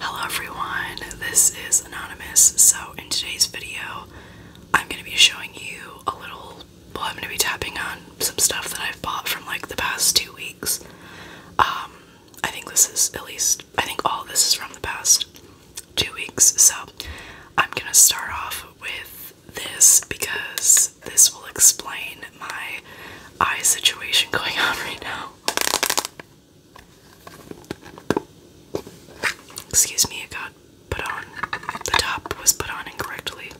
Hello everyone, this is Anonymous. So, in today's video, I'm going to be showing you a little. Well, I'm going to be tapping on some stuff that I've bought from like the past two weeks. Um, I think this is at least I think all this is from the past two weeks. So I'm gonna start off with this because this will explain my eye situation going on right now. Excuse me, it got put on. The top was put on incorrectly.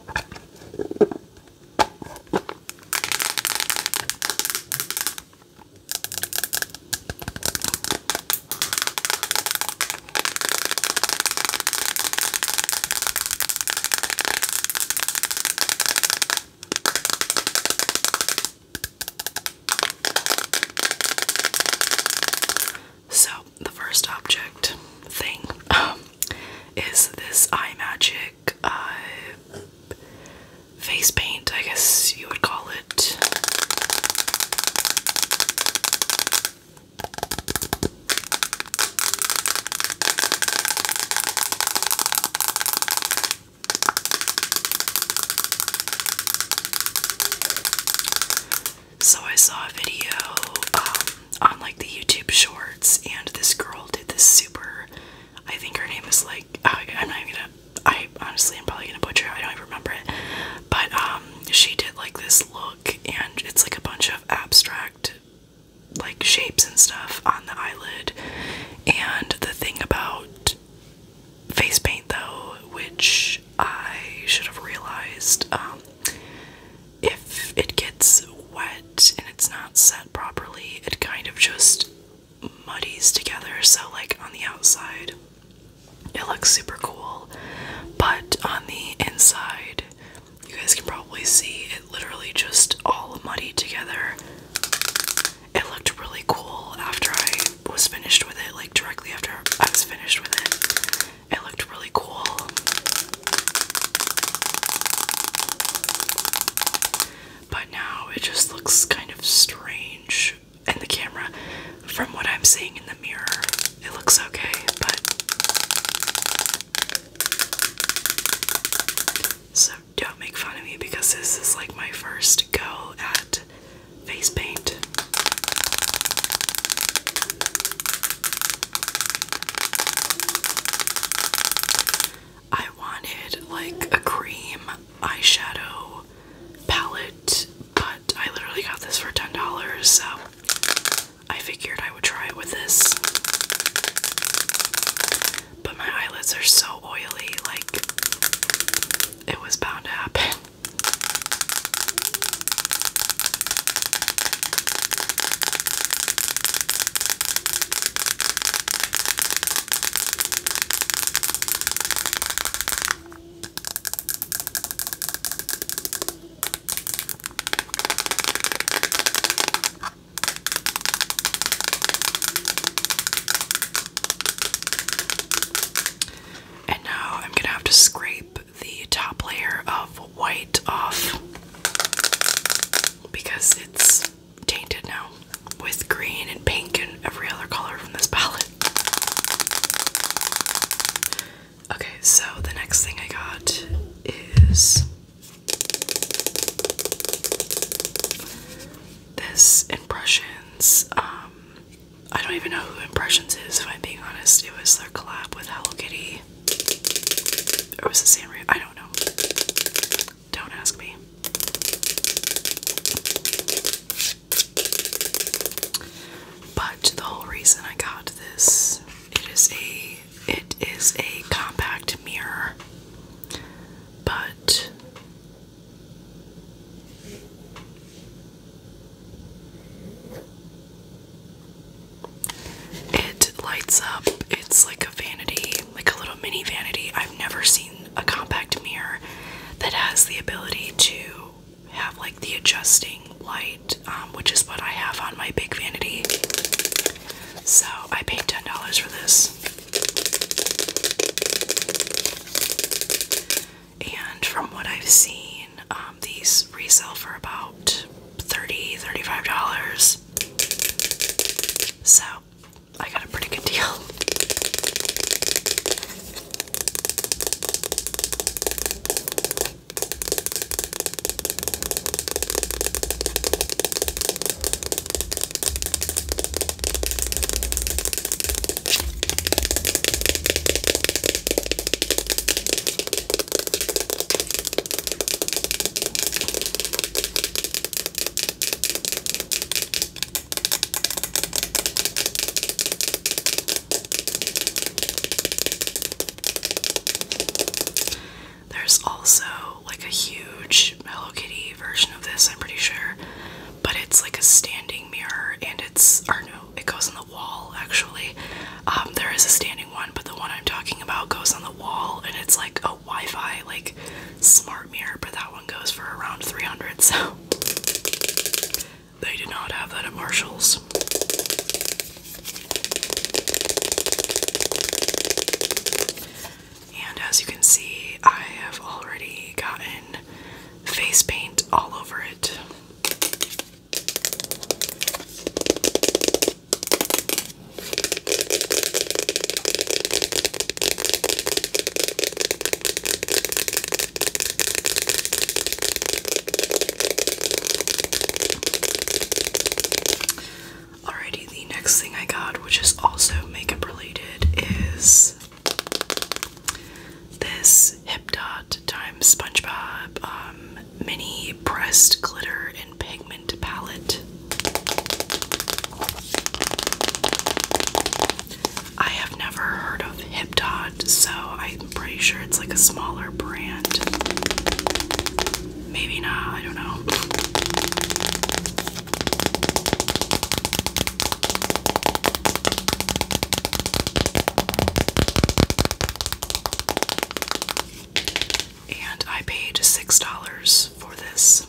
So, the first object thing um, is this eye magic uh, face paint, I guess you would call it. So I saw a video um, on like the YouTube shorts, and this girl did this super I think her name is like I, am not gonna. I honestly am probably gonna butcher. I don't even remember it, but um, she did like this look, and it's like a bunch of abstract like shapes and stuff on the eyelid. And the thing about face paint, though, which I should have realized, um, if it gets wet and it's not set properly, it kind of just muddies together, so like on the outside it looks super cool, but on the inside, you guys can probably see it literally just all muddy together. It looked really cool after I was finished with it, like directly after I was finished with it. It looked really cool but now it just looks kind of strange in the camera. From what I'm seeing in the mirror, it looks okay, but. So don't make fun of me because this is like my first go at face paint. I wanted like a cream eyeshadow palette, but I literally got this for $10, so I figured I would try it with this. But my eyelids are so oily, like, it was bound to happen. And now I'm going to have to scrape the top layer of white off because it's tainted now with green and pink and every other color from this palette. Okay, so the next thing I got is this Impressions. Um, I don't even know who Impressions is, if I'm being honest. It was their collab with Hello Kitty. It was it Sanrio? I don't know. Don't ask me. But the whole reason I got this, it is a it is a compact mirror. But it lights up. It's like a vanity, like a little mini vanity. I've never seen a compact mirror that has the ability to have like the adjusting light, um, which is what I have on my big vanity. So I paid $10 for this. And from what I've seen, um, these resell for about $30, $35. So I got a pretty good deal. There's also like a huge Hello Kitty version of this, I'm pretty sure, but it's like a standing mirror and it's, or no, it goes on the wall actually. Um, there is a standing one, but the one I'm talking about goes on the wall, and it's like a Wi-Fi like smart mirror. But that one goes for around 300. So they did not have that at Marshalls. And as you can see, I have already gotten face paint all over it. Alrighty, the next thing I got, which is also makeup related, is this Hip Dot times SpongeBob um, mini pressed glitter and pigment palette. I have never heard of Hipdod, so I'm pretty sure it's like a smaller brand. Maybe not, I don't know and I paid $6 for this.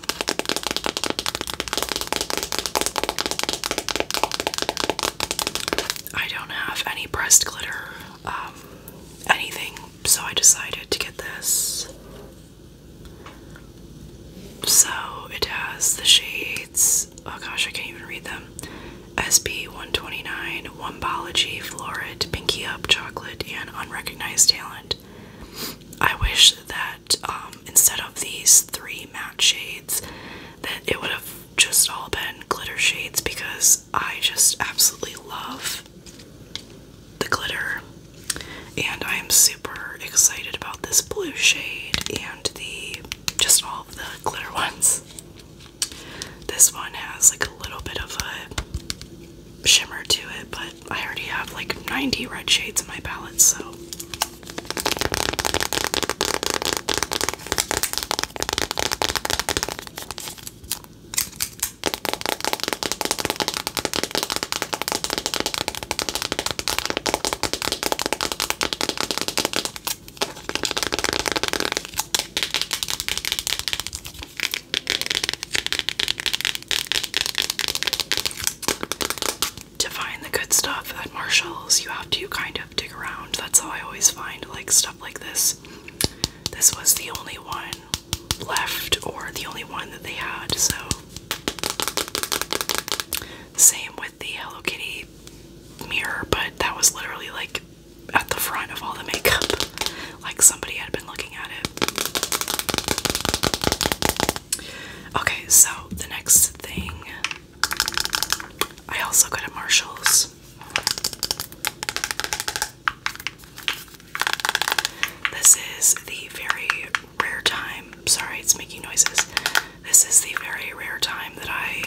I don't have any pressed glitter, um, anything, so I decided to get this. So it has the shades, oh gosh, I can't even read them. SB 129, Wombology, Florid, Pinky Up, Chocolate, and Unrecognized Talent. I wish that um, instead of these three matte shades, that it would have just all been glitter shades because I just absolutely love the glitter. And I am super excited about this blue shade and the just all the glitter ones. This one has like a little bit of a shimmer to it, but I already have like 90 red shades in my palette, so. To find the good stuff at Marshall's, you have to kind of dig around. That's how I always find like stuff like this. This was the only one left or the only one that they had, so same with the Hello Kitty mirror, but that was literally like at the front of all the makeup, like somebody had been looking at it. Okay, so the next thing I also got at Marshall's. This is the very rare time. Sorry, it's making noises. This is the very rare time that I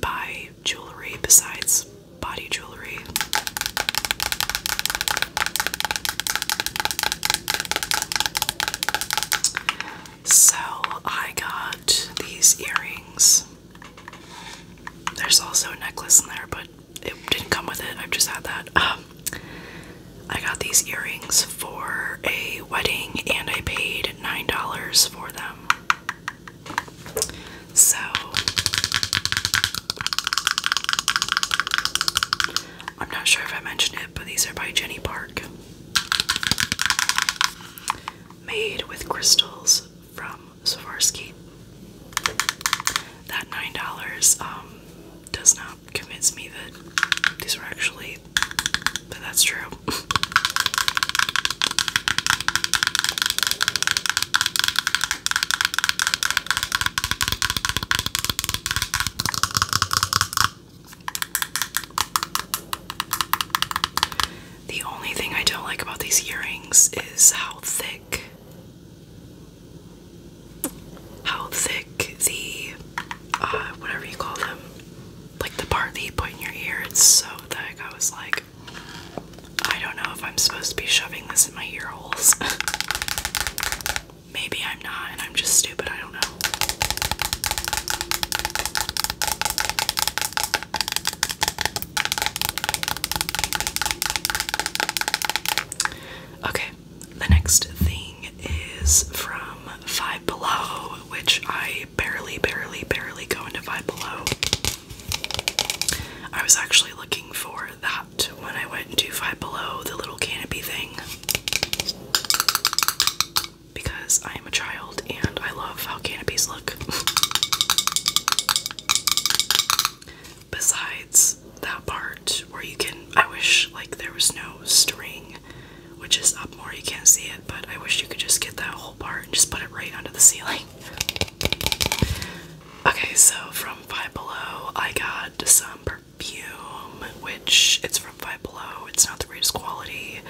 buy jewelry besides body jewelry. So I got these earrings. There's also a necklace in there, but it didn't come with it. I've just had that. Um, I got these earrings for a wedding and I paid $9 for them. So I'm not sure if I mentioned it, but these are by Jenny Park. Made with crystals from Swarovski. That $9 um, does not convince me that these are actually but that's true. The only thing I don't like about these earrings is how thick how thick the uh whatever you call them like the part that you put in your ear, it's so thick. I was like, I don't know if I'm supposed to be shoving this in my ear holes. Maybe I'm not, and I'm just stupid. I don't know. Okay, the next thing is from Five Below, which I barely, barely, barely, going to Five Below. I was actually looking for that when I went to Five Below, the little canopy thing. Because I am a child and I love how canopies look. Besides that part where you can, I wish like there was no string which is up more. You can't see it, but I wish you could just get that whole part and just put it right under the ceiling. Okay, so from Five Below, I got some perfume, which it's from Five Below. It's not the greatest quality.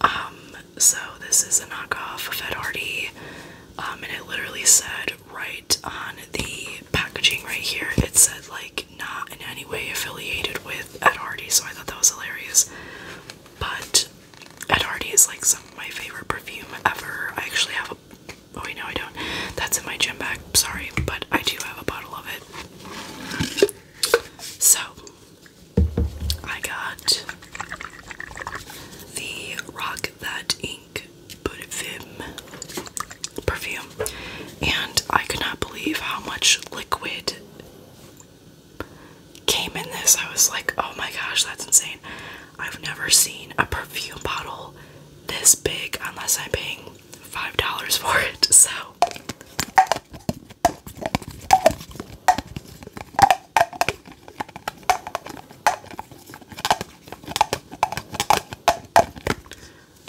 Um, so this is a knockoff of Ed Hardy, um, and it literally said right on the packaging right here. It said like not in any way affiliated with with Hardy, so I thought that was hilarious. But Ed Hardy is like some of my favorite perfume ever. I actually have a oh wait no I don't. That's in my gym bag, sorry, but I do have a bottle of it. So I got the Rock That Ink perfume and I cannot believe how much liquid came in this, I was like, oh my gosh, that's insane. I've never seen a perfume bottle this big unless I'm paying $5 for it. So.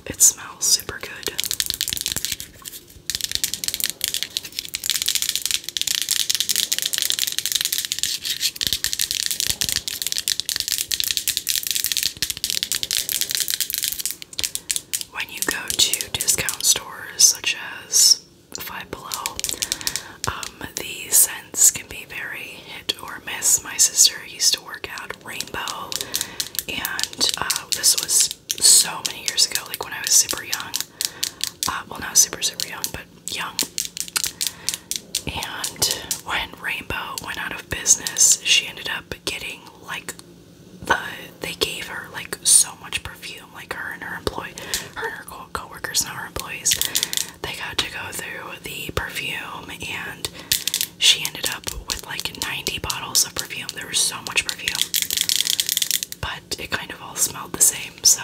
It smells super good. When you go to discount stores such as Five Below, um, the scents can be very hit or miss. My sister used to work at Rainbow, and uh, this was so many years ago, like when I was super young. Uh, well, not super, super young, but young. And when Rainbow went out of business, she ended up getting like they gave her like so much perfume, like her and her employee, her and her co coworkers, not her employees. They got to go through the perfume, and she ended up with like 90 bottles of perfume. There was so much but it kind of all smelled the same, so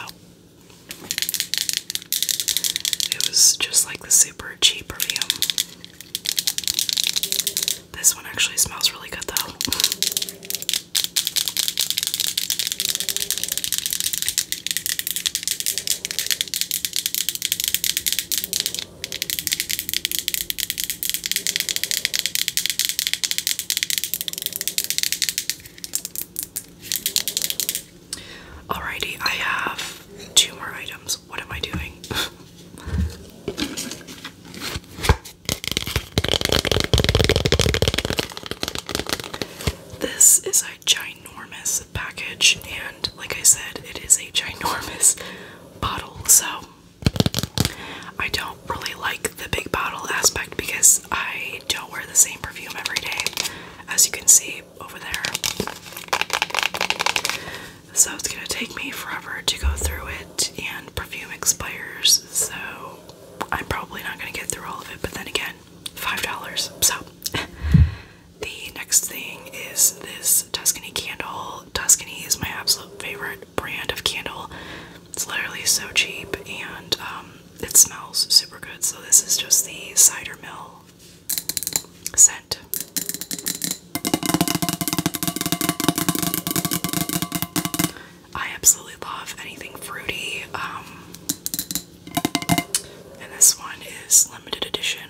it was just like the super cheap perfume. This one actually smells really good though. Alrighty, I have two more items. What am I doing? this is a ginormous package, and like I said, it is a ginormous bottle, so I don't really like the big bottle aspect because I don't wear the same perfume every day, as you can see over there. So it's gonna take me forever to go through it, and perfume expires, so I'm probably not gonna get through all of it, but then again, $5. So the next thing is this Tuscany candle Tuscany is my absolute favorite brand of candle. It's literally so cheap and um, it smells super good. So, this is just the Cider Mill scent. I absolutely love anything fruity. Um, and this one is limited edition.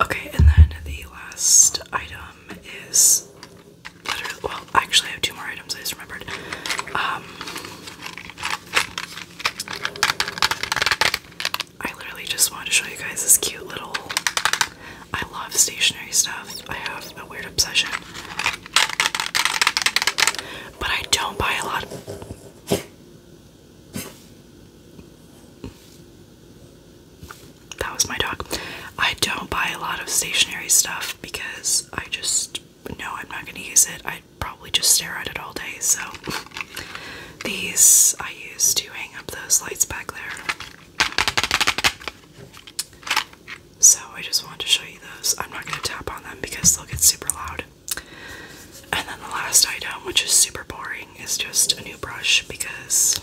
Okay, and then the last item is well, actually I have two more items I just remembered. Um, I literally just wanted to show you guys this cute little I love stationery stuff. I have a weird obsession. But I don't buy a lot. That was my dog. I don't buy a lot of stationary stuff because I just know I'm not going to use it. I'd probably just stare at it all day. So these I use to hang up those lights back there. So I just wanted to show you those. I'm not going to tap on them because they'll get super loud. And then the last item, which is super boring, thing is just a new brush because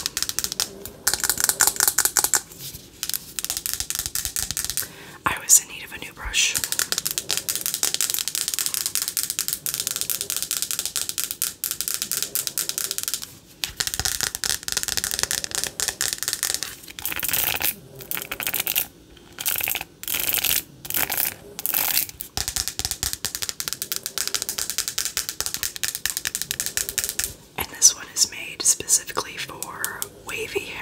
I was in need of a new brush. And this one is made specifically for wavy hair.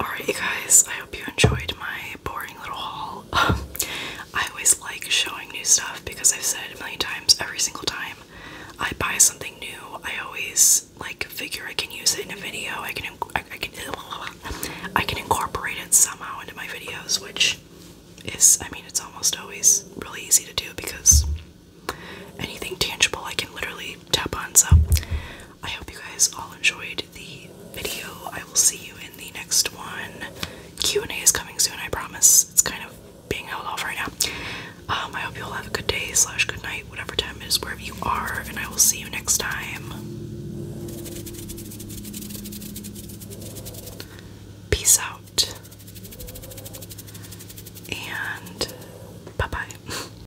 Alright, you guys, I hope you enjoyed my boring little haul. Um, I always like showing new stuff because I've said it a million times every single time I buy something new. I always like figure I can use it in a video. I can I can I can incorporate it somehow into my videos, which is I mean it's almost always really easy to do because anything tangible I can literally tap on. So I hope you guys all enjoyed the video. I will see you in the next one. Q&A is coming soon, I promise. It's kind of being held off right now. Um, I hope you all have a good day slash good night, whatever time it is, wherever you are, and I will see you next time. Peace out. And bye-bye.